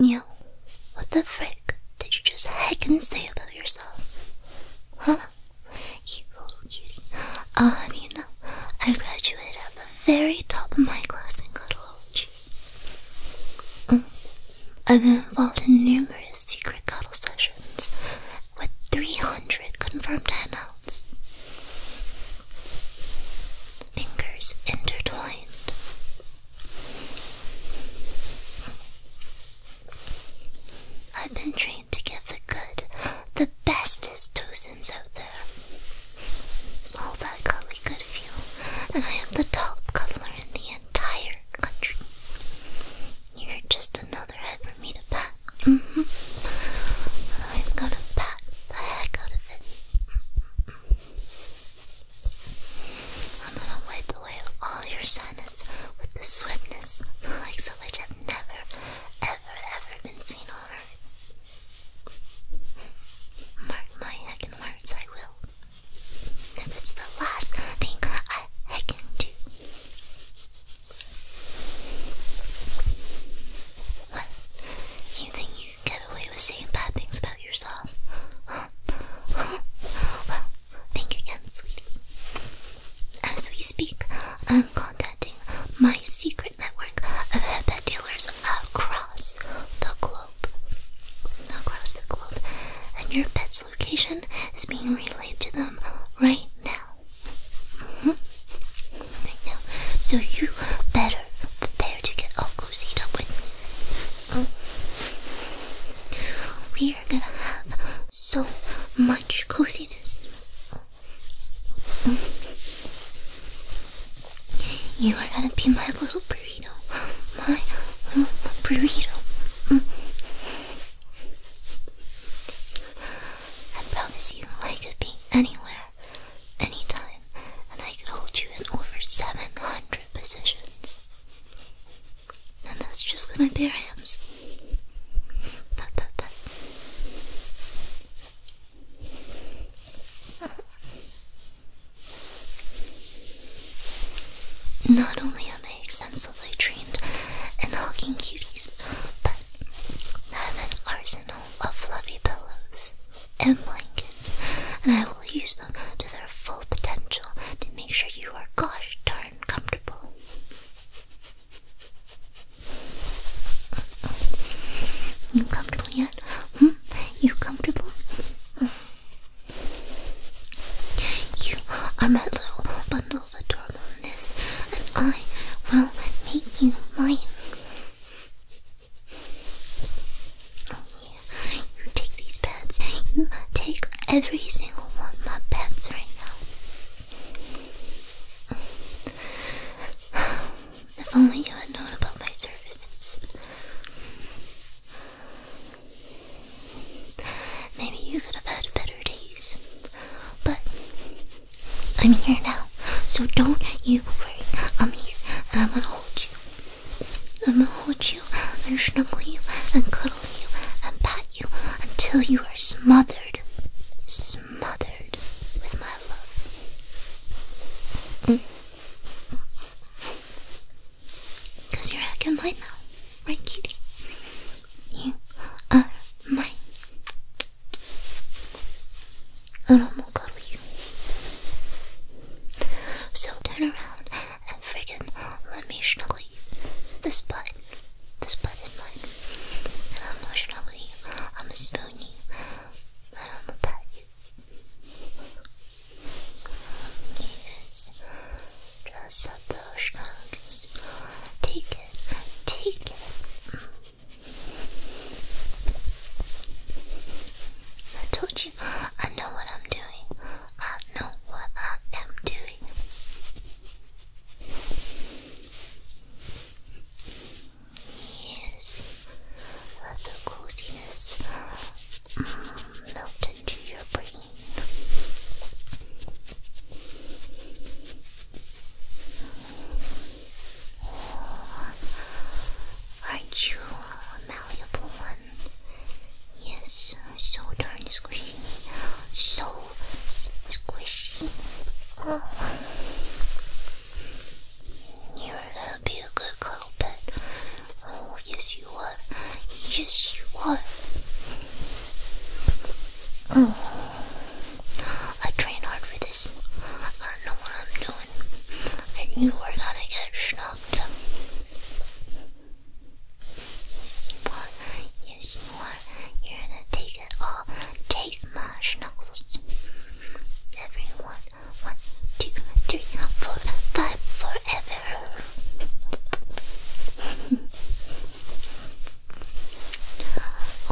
You, what the frick did you just heck and say about yourself? Huh? You little cutie. i uh, mean, I graduated at the very top of my class in cuddleology. Mm. I've been involved in numerous secret cuddle sessions with 300 confirmed handouts fingers intertwined. I've been trained to give the good, the bestest docents out there. All that golly good feel, and I am the top cuddler in the entire country. You're just another head for me to pat. Mm-hmm. I'm gonna pat the heck out of I'm gonna wipe away all your sadness with the swiftness like so much i have never, ever, ever been seen on earth. Mark my heckin' words, I will. If it's the last thing I heckin' do. What? You think get away with saying bad things about yourself. well, thank again, sweetie. As we speak, I'm contacting my secret network of pet dealers across the globe. Across the globe. And your pet's location is being relayed to them right now. Mm-hmm right now. So you better prepare to get all cozied up with me. Mm. We are gonna have so much coziness. Um, you are gonna be my little burrito. My little um, burrito. I promise you, I could be anywhere there anytime, and I can hold you in over 700 positions. And that's just with my bare hands. Not only am I extensively trained in hugging cuties, but I have an arsenal of fluffy pillows and blankets, and I will use them to their full potential to make sure you are gosh darn comfortable. You comfortable yet? Hmm? You comfortable? You are my little bundle of adorableness, and I will make you mine yeah, you take these pets. You take every single one my pets right now. If only you had known about my services. Maybe you could have had better days. But I'm here now, so don't you worry. I'm here and I'm gonna hold you. I'm gonna hold you and snuggle you and cuddle you and pat you until you are smothered, smothered with my love. Mm. Cause you're acting mine now, right, cutie? You are mine. And I'm all good with you. So turn around and friggin' let me snuggle you. This butt, this butt is mine. And I'm gonna snuggle you. I'm gonna spoon you. And I'm gonna pat you. Yes. Dress up those nuggets. Take it. Take it. I told you, I know what I'm doing. I know what I am doing. Yes, let the coziness mm, melt into your brain. Oh, aren't you a malleable one? Yes, so darn squishy, so squishy. Oh. You're a be a good girl, oh yes you are, yes you are. I train hard for this. I don't know what I'm doing. And you are gonna get snubbed. Yes, you are. Yes, you are. You're gonna take it all. Take my snuggles. Everyone. One, two, three, four, five, forever.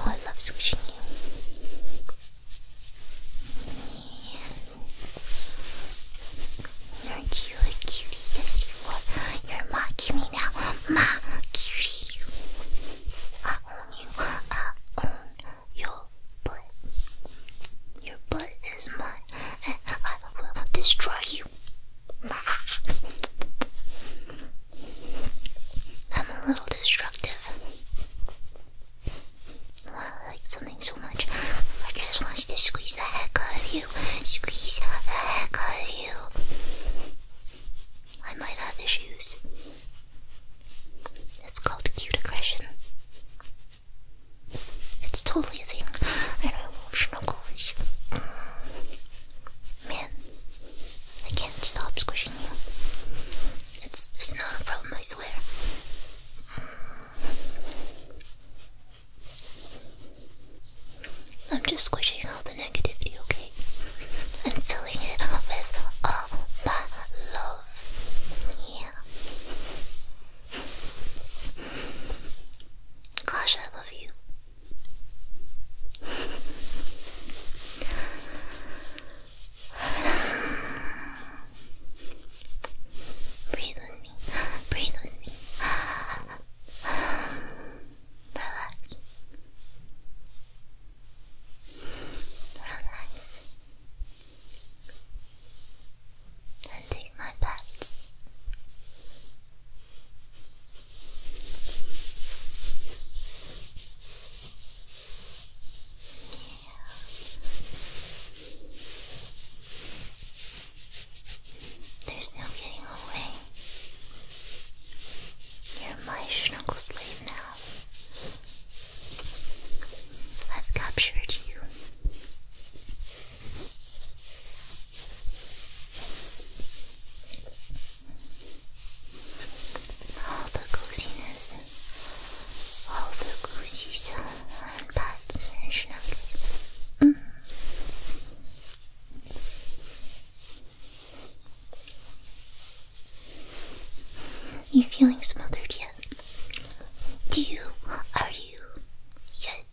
Oh, I love squishing you. Yes. You're cutie. Yes, you are. You're my cutie now. My cutie. I own you. I own your butt. Your butt is mine. And I will destroy you. I'm a little destructive. Oh, I like something so much. I just want to squeeze the heck out of you. Squeeze the heck out of you. I might have issues. It's called cute aggression. It's totally a thing. I know emotional goals. Mm. Man, I can't stop squishing you. It's, it's not a problem, I swear. I'm just squishing out the negativity, okay? And filling it up with all my love. Yeah. Gosh, I love you. Breathe with me. Breathe with me. Relax. Relax. And my pets. There's no getting away. You're my schnuckle slave now. I've captured you all the coziness, all the cozies and and snacks. Mm. You feeling smothered yet? Do you? Are you? Yes.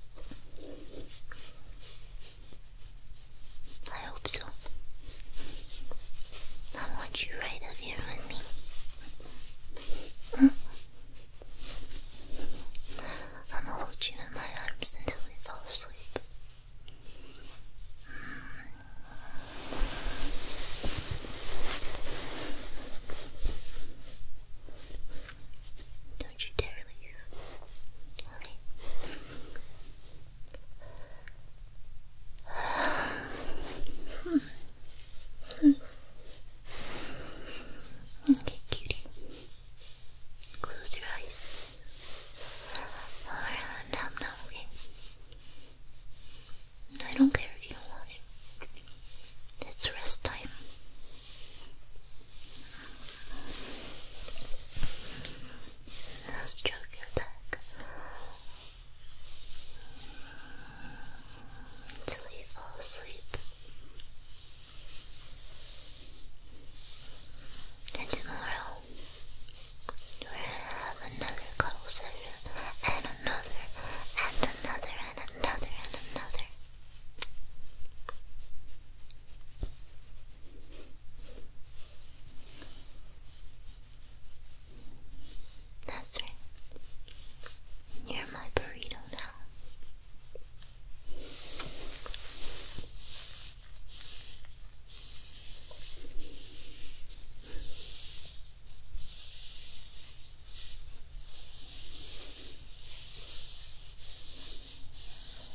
I hope so. I want you right here with me. I'm gonna hold you in my arms until we fall asleep. Don't you dare leave. Okay, cutie. Close your eyes. Alright, nom nom, okay? I don't care if you want it. It's rest time. I'll stroke your back until you fall asleep. And tomorrow, we're have another cuddle and another, and another, and another, and another. That's right. You're my burrito now.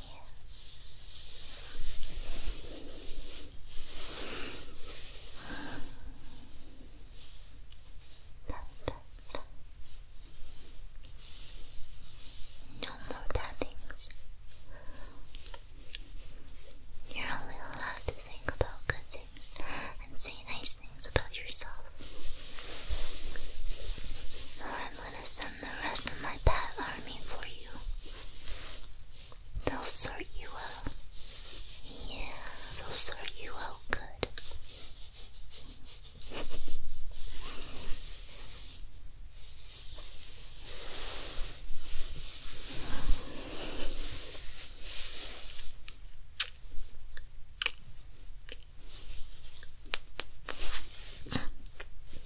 No more tappings. You're only allowed to think about good things and say nice things about yourself. Or I'm gonna send the rest of my bat army for you. Those are you all. Yeah, those are you out good.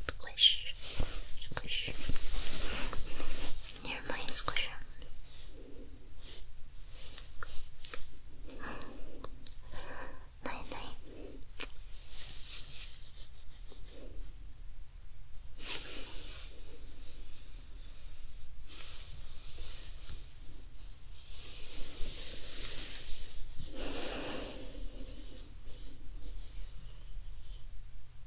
Squish. Squish. mind, squish. Night night.